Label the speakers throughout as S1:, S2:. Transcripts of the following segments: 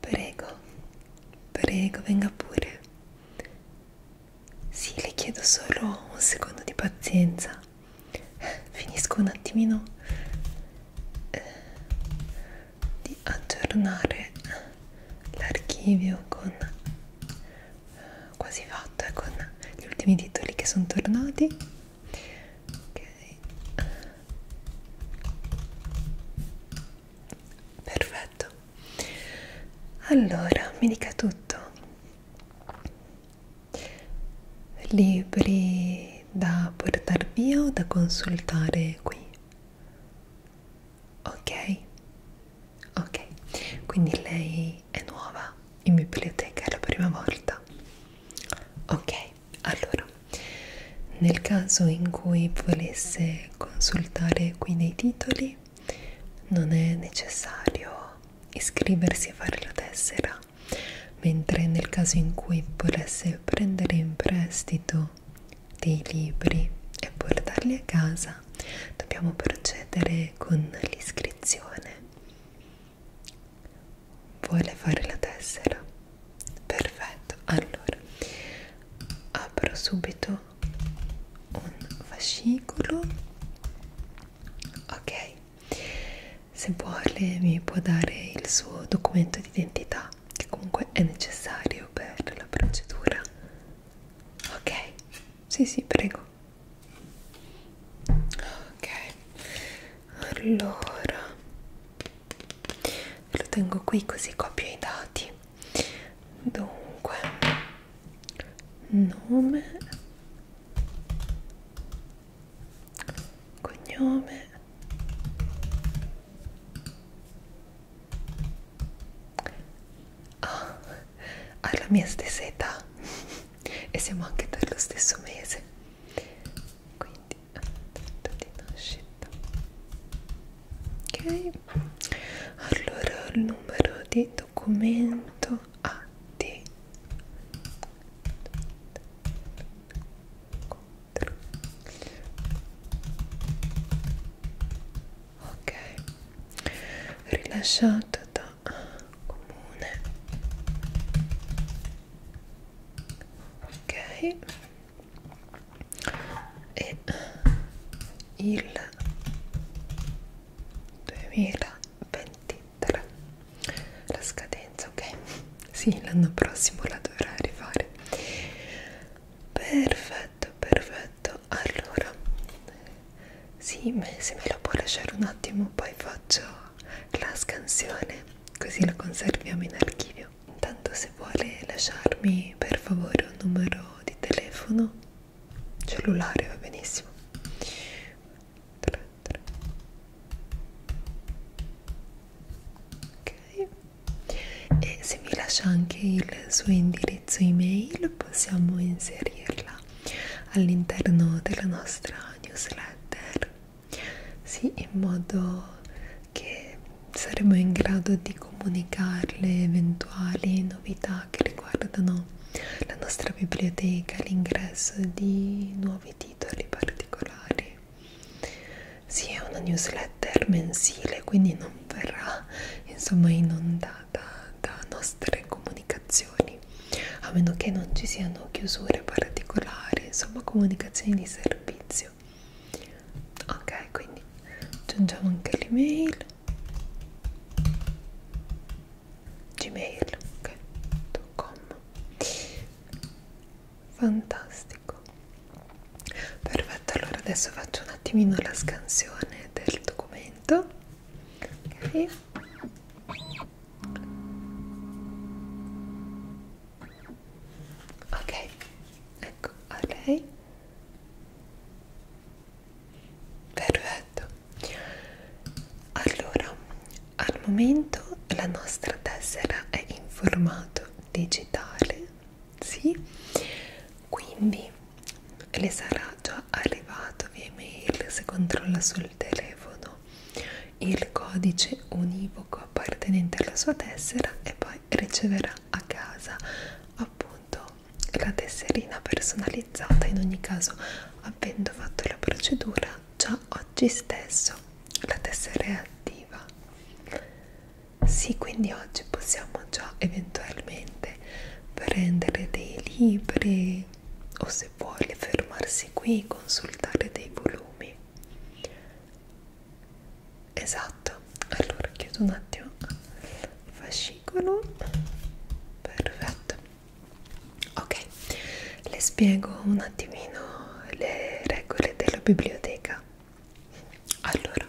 S1: Prego, prego, venga pure. Sì, le chiedo solo un secondo di pazienza. Finisco un attimino eh, di aggiornare l'archivio con quasi fatto eh, con gli ultimi titoli che sono tornati ok perfetto allora mi dica tutto libri da portare via o da consultare qui ok ok quindi lei è nuova in biblioteca, è la prima volta. Ok, allora, nel caso in cui volesse consultare qui nei titoli, non è necessario iscriversi e fare la tessera, mentre nel caso in cui volesse prendere in prestito dei libri e portarli a casa, dobbiamo procedere con l'iscrizione. Vuole fare la tessera? Perfetto, allora apro subito un fascicolo. Ok, se vuole mi può dare il suo documento di identità, che comunque è necessario per la procedura. Ok, sì, sì, prego. Ok, allora lo tengo qui così copio i dati. Dunque, nome, cognome. Ah, alla mia stessa età e siamo anche per lo stesso mese quindi data di nascita ok allora il numero di documento AD ah, ok rilasciato da comune ok e il 2023 la scadenza ok sì l'anno prossimo la dovrà arrivare perfetto perfetto allora sì me, se me lo può lasciare un attimo poi faccio la scansione così la conserviamo in archivio intanto se vuole lasciarmi per favore un numero di telefono cellulare va benissimo 3, 3. ok e se mi lascia anche il suo indirizzo email possiamo inserirla all'interno della nostra newsletter sì, in modo che saremo in grado di comunicarle eventuali novità che riguardano la nostra biblioteca, l'ingresso di nuovi titoli particolari. Sì, è una newsletter mensile, quindi non verrà insomma inondata da nostre comunicazioni giorni, a meno che non ci siano chiusure particolari, insomma comunicazioni di servizio. Ok, quindi aggiungiamo anche l'email. Gmail, ok, .com. Fantastico. Perfetto, allora adesso faccio un attimino la scansione del documento. Ok ok ecco a lei perfetto allora al momento la nostra tessera è in formato digitale sì quindi le sarà già arrivato via email se controlla sul sul telefono il codice univoco appartenente alla sua tessera e poi riceverà a casa appunto la tesserina personalizzata in ogni caso avendo fatto la procedura già oggi stesso la tessera è attiva sì quindi oggi possiamo già eventualmente prendere dei libri o se vuole fermarsi qui e consultare dei volumi esatto allora chiudo un attimo il fascicolo perfetto ok le spiego un attimino le regole della biblioteca allora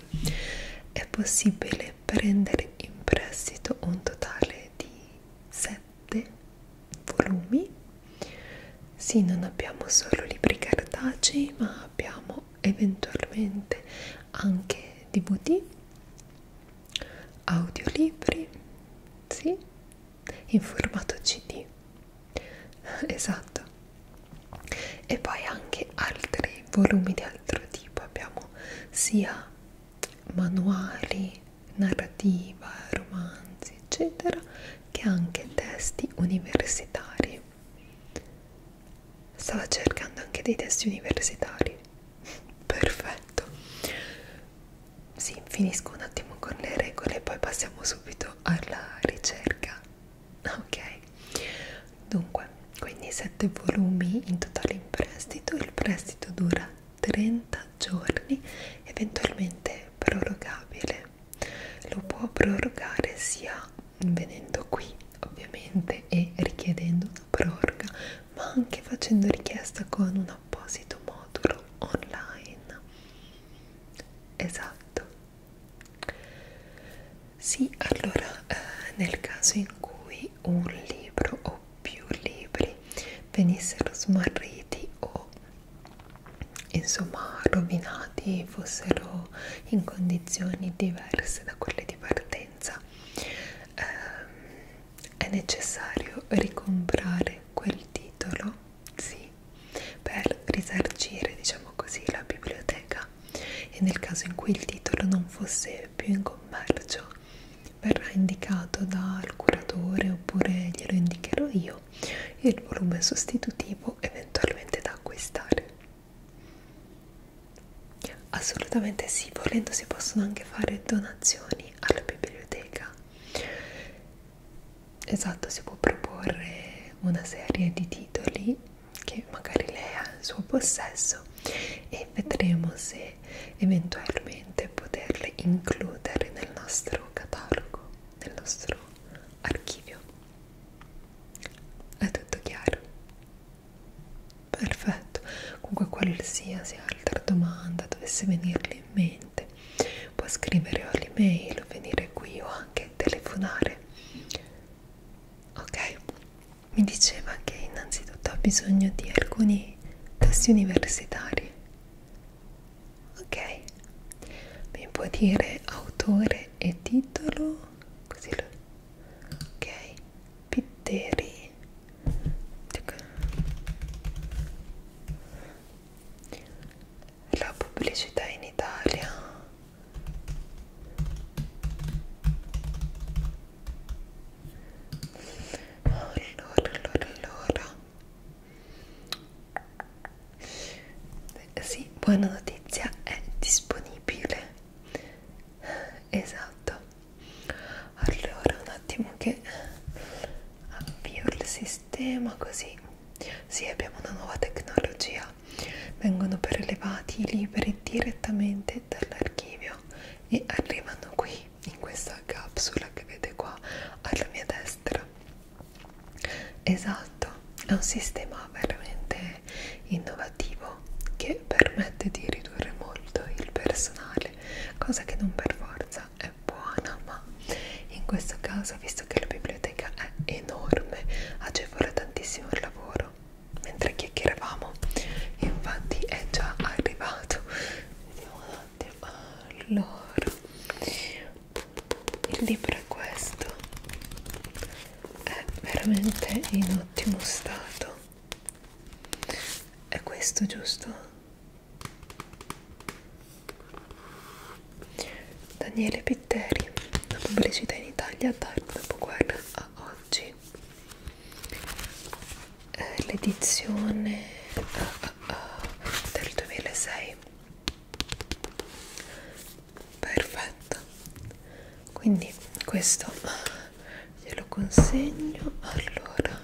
S1: è possibile prendere in prestito un totale di 7 7 volumi sì non abbiamo solo libri cartacei ma abbiamo eventualmente anche dvd audiolibri sì in formato cd esatto e poi anche altri volumi di altro tipo abbiamo sia manuali narrativa, romanzi, eccetera, che anche testi universitari. Stava cercando anche dei testi universitari. Perfetto. Sì, finisco un attimo con le regole e poi passiamo subito alla ricerca. Ok. Dunque, quindi sette volumi in totale in prestito, il prestito dura 30 giorni, eventualmente prorogabile. Lo può prorogare sia venendo qui ovviamente e richiedendo una proroga, ma anche facendo richiesta con un apposito modulo online. Esatto. Sì, allora eh, nel caso in cui un libro o più libri venissero smarriti o insomma rovinati, fossero in condizioni diverse da quelle di partenza, eh, è necessario ricomprare quel titolo, sì, per risarcire, diciamo così, la biblioteca e nel caso in cui il titolo non fosse più in commercio verrà indicato dal curatore oppure glielo indicherò io il volume sostitutivo eventualmente da acquistare assolutamente sì volendo si possono anche fare donazioni alla biblioteca esatto si può proporre una serie di titoli che magari lei ha in suo possesso e vedremo se eventualmente poterle includere nel nostro catalogo, nel nostro archivio. È tutto chiaro? Perfetto. Comunque qualsiasi altra domanda dovesse venirle in mente, può scrivere all'email o venire qui o anche telefonare. Ok, mi diceva che innanzitutto ha bisogno di alcuni test universitari ok mi può dire autore e titolo così lo ok pitteri la pubblicità in Italia allora allora allora sì, buona notizia, è disponibile. Esatto. Allora, un attimo che avvio il sistema così. Sì, abbiamo una nuova tecnologia. Vengono prelevati i libri direttamente dall'archivio e arrivano qui in questa capsula che vede qua alla mia destra esatto è un sistema veramente innovativo che permette di ridurre molto il personale cosa che non per forza è buona ma in questo caso visto che la biblioteca è enorme agevola tantissimo il lavoro mentre chiacchieravamo infatti è già arrivato vediamo un attimo allora il libro è questo è veramente in ottimo stato è questo giusto? Daniele Pitteri la pubblicità in Italia dal dopoguerra a oggi l'edizione a uh, del 2006 perfetto quindi questo glielo consegno allora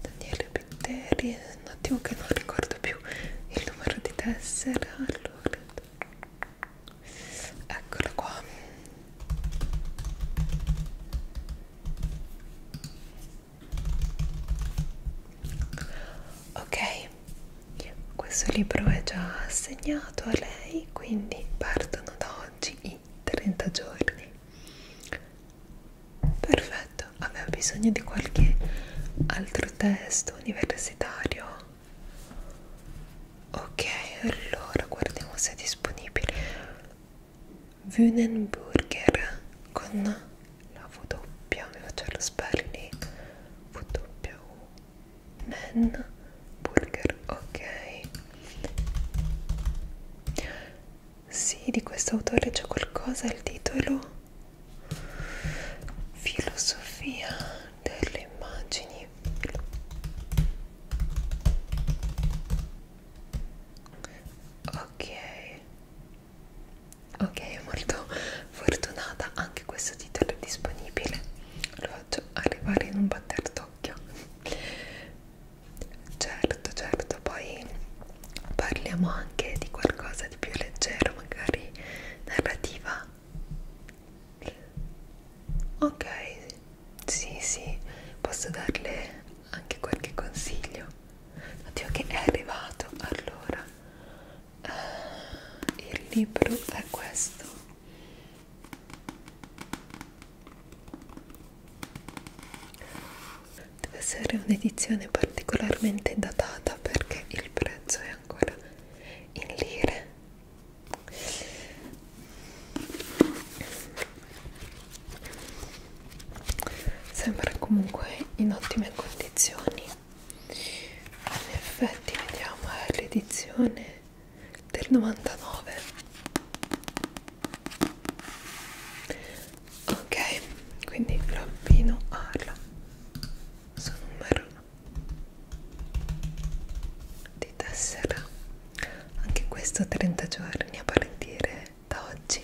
S1: Daniele Pitteri un attimo che non ricordo più il numero di tessera allora eccola qua ok questo libro è già assegnato a lei quindi partono da oggi i 30 giorni perfetto aveva bisogno di qualche altro testo universitario ok allora guardiamo se è disponibile Wunenburger con la V doppia, mi faccio lo spelling V doppia U Nen Burger, ok Sì, di questo autore c'è qualcosa, il titolo Filosofia delle immagini Ok ok molto fortunata anche questo titolo è disponibile lo faccio arrivare in un batter d'occhio certo certo poi parliamo anche di qualcosa di più leggero magari narrativa ok sì sì posso darle anche qualche consiglio Oddio che è arrivato, allora, uh, il libro è questo. Deve essere un'edizione particolarmente datata perché il prezzo è ancora in lire sembra comunque in ottime condizioni in effetti vediamo è eh, l'edizione del 99 ok quindi l'abbino alla suo numero di tessera anche questo 30 giorni a partire da oggi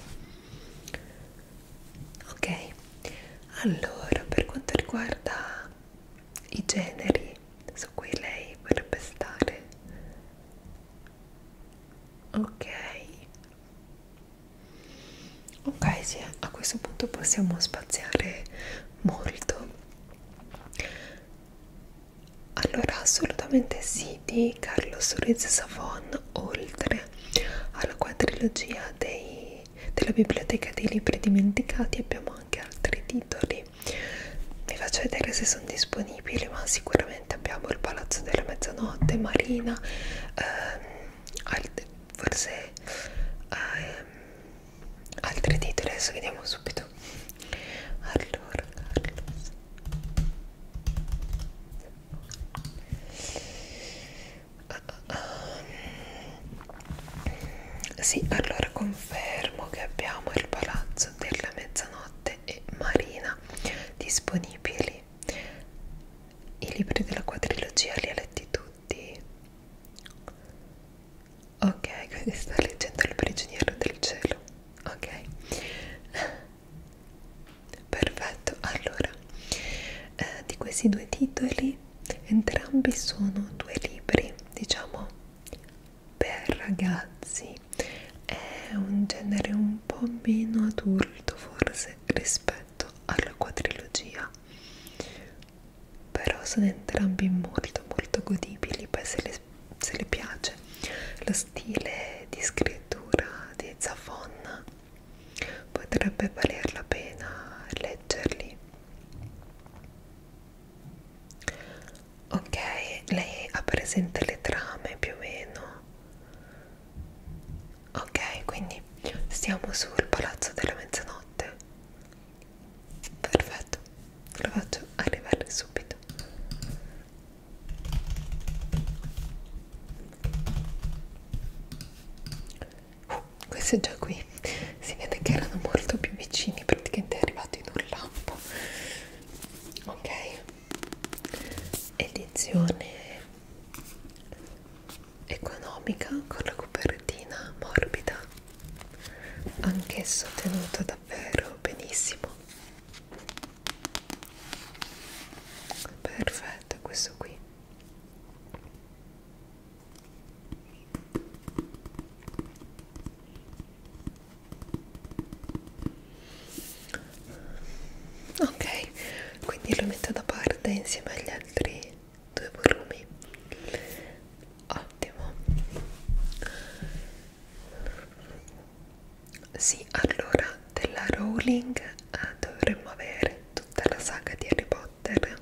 S1: ok allora per quanto riguarda i generi su cui lei vorrebbe stare ok ok sì a questo punto possiamo spaziare molto allora assolutamente sì di Carlos Ruiz Savon oltre alla quadrilogia dei, della biblioteca dei libri dimenticati abbiamo anche altri titoli vi faccio vedere se sono disponibili ma sicuramente abbiamo il palazzo della mezzanotte marina ehm, forse ehm, altri titoli adesso vediamo subito allora Carlos Ehm, sì, allora confermo che abbiamo il palazzo della mezzanotte e marina disponibili. I libri della quadrilogia li ha letti tutti. Ok, quindi sta leggendo il prigioniero del cielo. Ok perfetto allora eh, di questi due titoli entrambi sono due libri diciamo per ragazzi è un genere un po' meno adulto forse rispetto alla quadrilogia però sono entrambi molto molto godibili poi se le, se le piace lo stile di scrittura di Zafon potrebbe valer la pena leggerli ok lei ha presente le trame più o meno ok quindi stiamo sul palazzo della mezzanotte perfetto lo faccio arrivare subito Uh, questo è già qui. Si vede che erano molto più vicini, praticamente è arrivato in un lampo. Ok, edizione economica con la copertina morbida, anch'esso tenuto davvero benissimo. Perfetto, questo qui ok quindi lo metto da parte insieme agli altri due volumi ottimo sì allora della Rowling eh, dovremmo avere tutta la saga di Harry Potter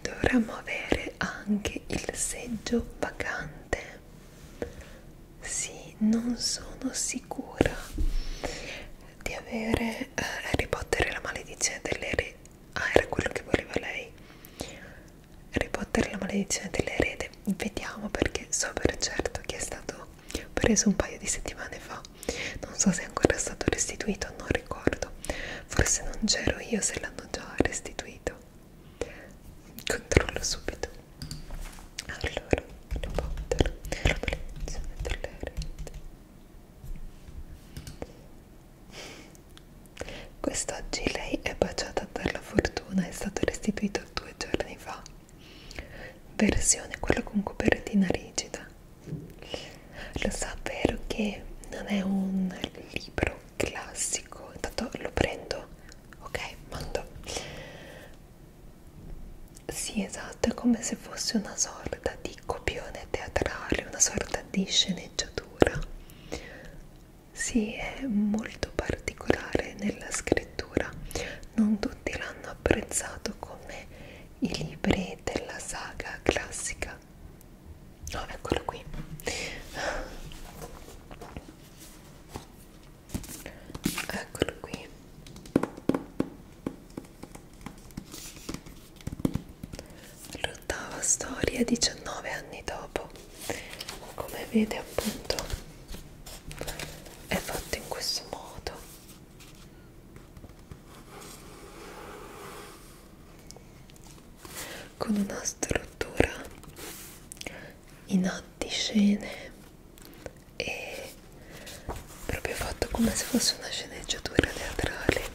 S1: dovremmo avere anche il seggio vacante sì, non sono sicura di avere eh, Harry Potter e la maledizione delle re ah era quello che voleva lei Harry Potter e la maledizione dell'erede vediamo perché so per certo che è stato preso un paio di settimane fa non so se è ancora stato restituito non ricordo forse non c'ero io se l'hanno già restituito controllo subito allora Harry Potter la maledizione tollerante quest'oggi lei è baciata dalla fortuna è stato restituito due giorni fa versione quella con copertina rigida lo so, vero che non è un libro classico, intanto lo prendo, ok, mando. Sì, esatto, è come se fosse una sorta di copione teatrale, una sorta di sceneggiatura. Sì, è molto particolare nella scrittura, non tutti l'hanno apprezzato come i libri della saga classica no oh, eccolo qui eccolo qui l'ottava storia 19 anni dopo come vede appunto è fatto in questo modo con una struttura in antiscene e proprio fatto come se fosse una sceneggiatura teatrale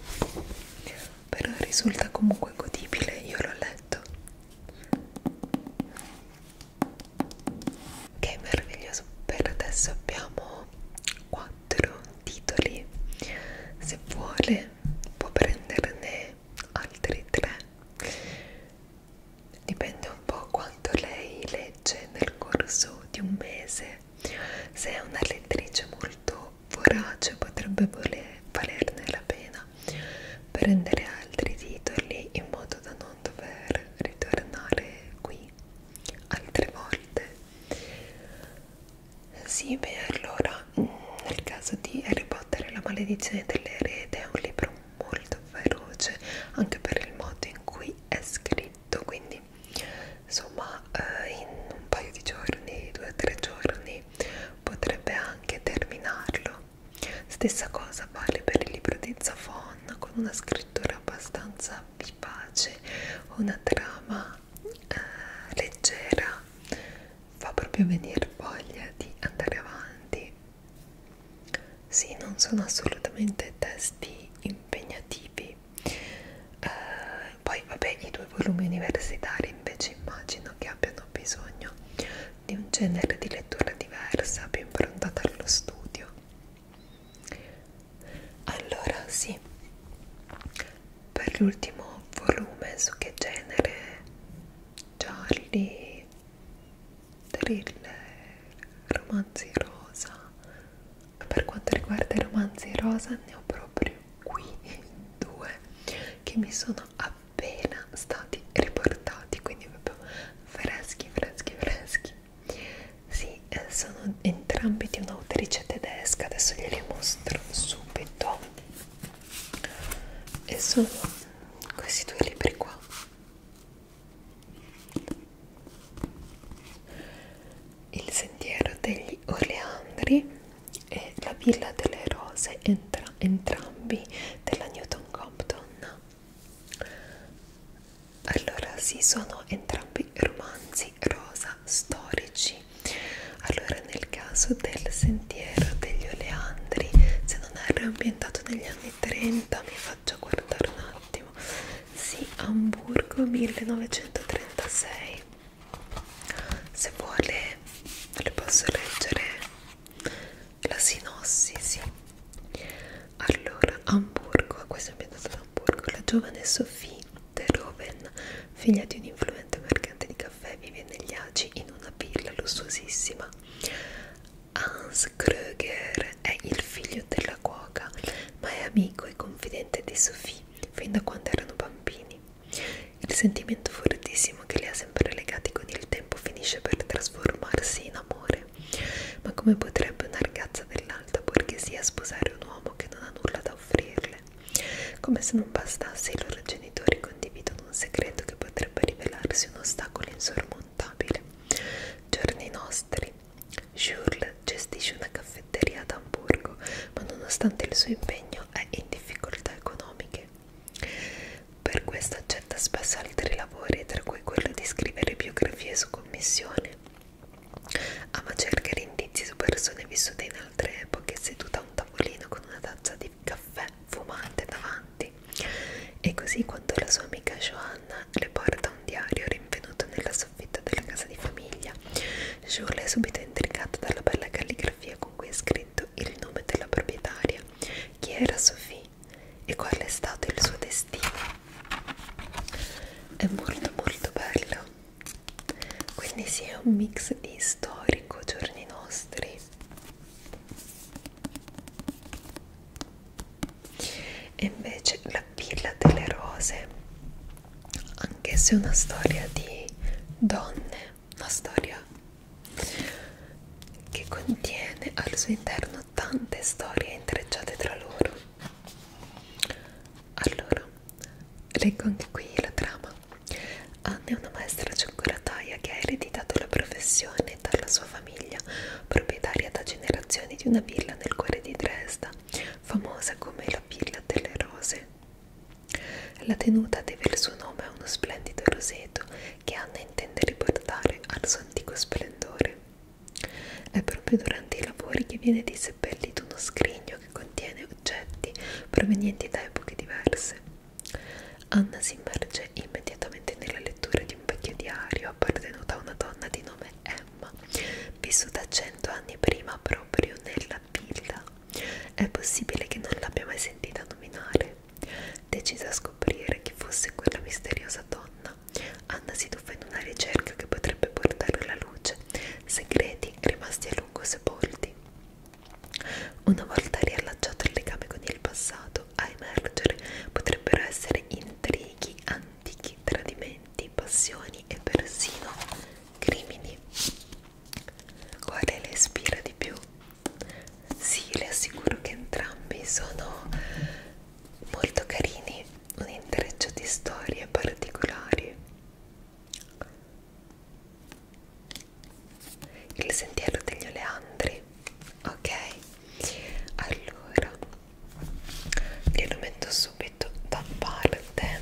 S1: però risulta comunque godibile io l'ho letto che okay, meraviglioso per adesso abbiamo quattro titoli se vuole può prenderne altri tre dipende un po' quanto lei legge nel corso di un mese se è una lettrice molto vorace potrebbe voler, valerne la pena prendere altri titoli in modo da non dover ritornare qui altre volte sì, beh, allora, mm, nel caso di Harry Potter la maledizione dell'erede è un libro molto feroce, anche per il modo in cui è scritto, quindi insomma eh, in un paio di giorni, due o tre giorni, potrebbe anche terminarlo. Stessa cosa vale per il libro di Zafon, con una scrittura abbastanza abbi pace, una trama eh, leggera fa proprio venire voglia di andare avanti. Sì, non sono assolutamente testi impegnativi. Eh, poi, vabbè, i due volumi universitari invece immagino che abbiano bisogno di un genere di lettura diversa, più improntata allo studio allora sì per l'ultimo volume su che genere Charlie thriller romanzi rosa per quanto riguarda i romanzi rosa ne ho proprio qui due che mi sono appena stati riportati quindi proprio freschi freschi freschi sì, eh, sono entrambi di un'autrice tedesca, adesso glieli mostro subito. E sono questi due libri qua. Il sentiero degli oleandri e la villa delle rose, entra entrambi della Newton Compton allora sì sono entrambi romanzi rosa storici allora nel caso del sentiero degli oleandri se non era ambientato negli anni 30 mi faccio guardare un attimo sì Amburgo 1936 se vuole le posso leggere la sinossi sì allora Amburgo questo è ambientato ad Amburgo la giovane Sophie Terhoven, figlia di un influente mercante di caffè, vive negli Agi in una villa lussuosissima. Hans Kröger è il figlio della cuoca, ma è amico e confidente di Sophie fin da quando erano bambini. Il sentimento fortissimo che li ha sempre legati con il tempo finisce per trasformarsi in amore. Ma come potrebbe una ragazza dell'alta borghesia sposare un uomo? uomo che non ha nulla da offrirle. Come se non bastasse, i loro genitori condividono un segreto che potrebbe rivelarsi un ostacolo insormontabile. Giorni nostri. Jules gestisce una caffetteria ad Amburgo, ma nonostante il suo impegno è in difficoltà economiche. Per questo accetta spesso altri lavori, tra cui quello di scrivere biografie su commissione Ama cercare indizi su persone vissute in altre epoche, seduta a un tavolino con una tazza di caffè fumante davanti. E così quando la sua amica Joanna le porta un diario rinvenuto nella soffitta della casa di famiglia, Jules è subito intrigata dalla bella calligrafia con cui è scritto il nome della proprietaria. Chi era Sophie e qual è stato il suo destino? È molto molto bello quindi sì è un mix di storico giorni nostri e invece la villa delle rose anche se è una storia di donne una storia che contiene al suo interno tante storie intrecciate tra loro allora leggo anche qui la trama Anna è una maestra cioccolataia che ha ereditato la professione dalla sua famiglia proprietaria da generazioni di una villa nel cuore di Dresda famosa come la villa delle rose la tenuta deve il suo nome a uno splendido roseto che Anna intende riportare al suo antico splendore. È proprio durante i lavori che viene diseppellito uno scrigno contiene oggetti provenienti da epoche diverse. Anna si immerge immediatamente nella lettura di un vecchio diario appartenuto a una donna di nome Emma, vissuta cento anni prima proprio nella villa. È possibile che non l'abbia mai sentita nominare. Decisa a scoprire chi fosse quella misteriosa donna, Anna si tuffa in una ricerca che potrebbe portare alla luce segreti rimasti a lungo sepolti. Una volta riallacciato il legame con il passato, a emergere potrebbero essere intrighi, antichi tradimenti, passioni e persino crimini. Quale le ispira di più? Sì, le assicuro che entrambi sono molto carini, un intreccio di storie particolari il sentiero degli oleandri ok allora glielo metto subito da parte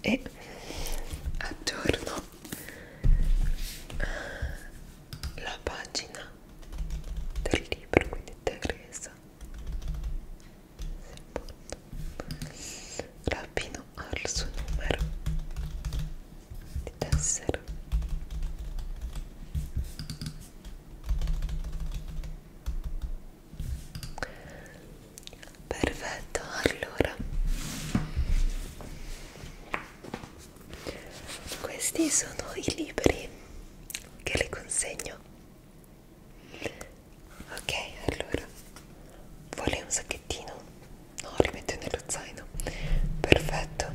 S1: e aggiorno la pagina del libro quindi Teresa rapino al suo numero di tessera perfetto allora questi sono i libri che le consegno ok allora vuole un sacchettino? no li metto nello zaino perfetto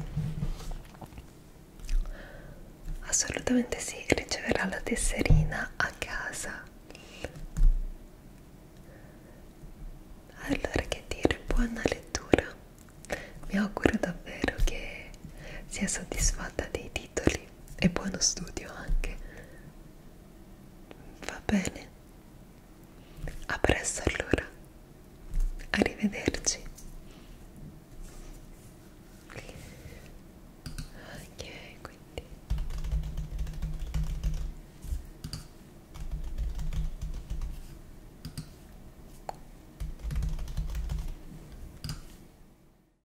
S1: assolutamente sì riceverà la tesserina a casa allora che dire buona lettura mi auguro davvero che sia soddisfatta dei titoli e buono studio anche va bene a presto allora arrivederci ok quindi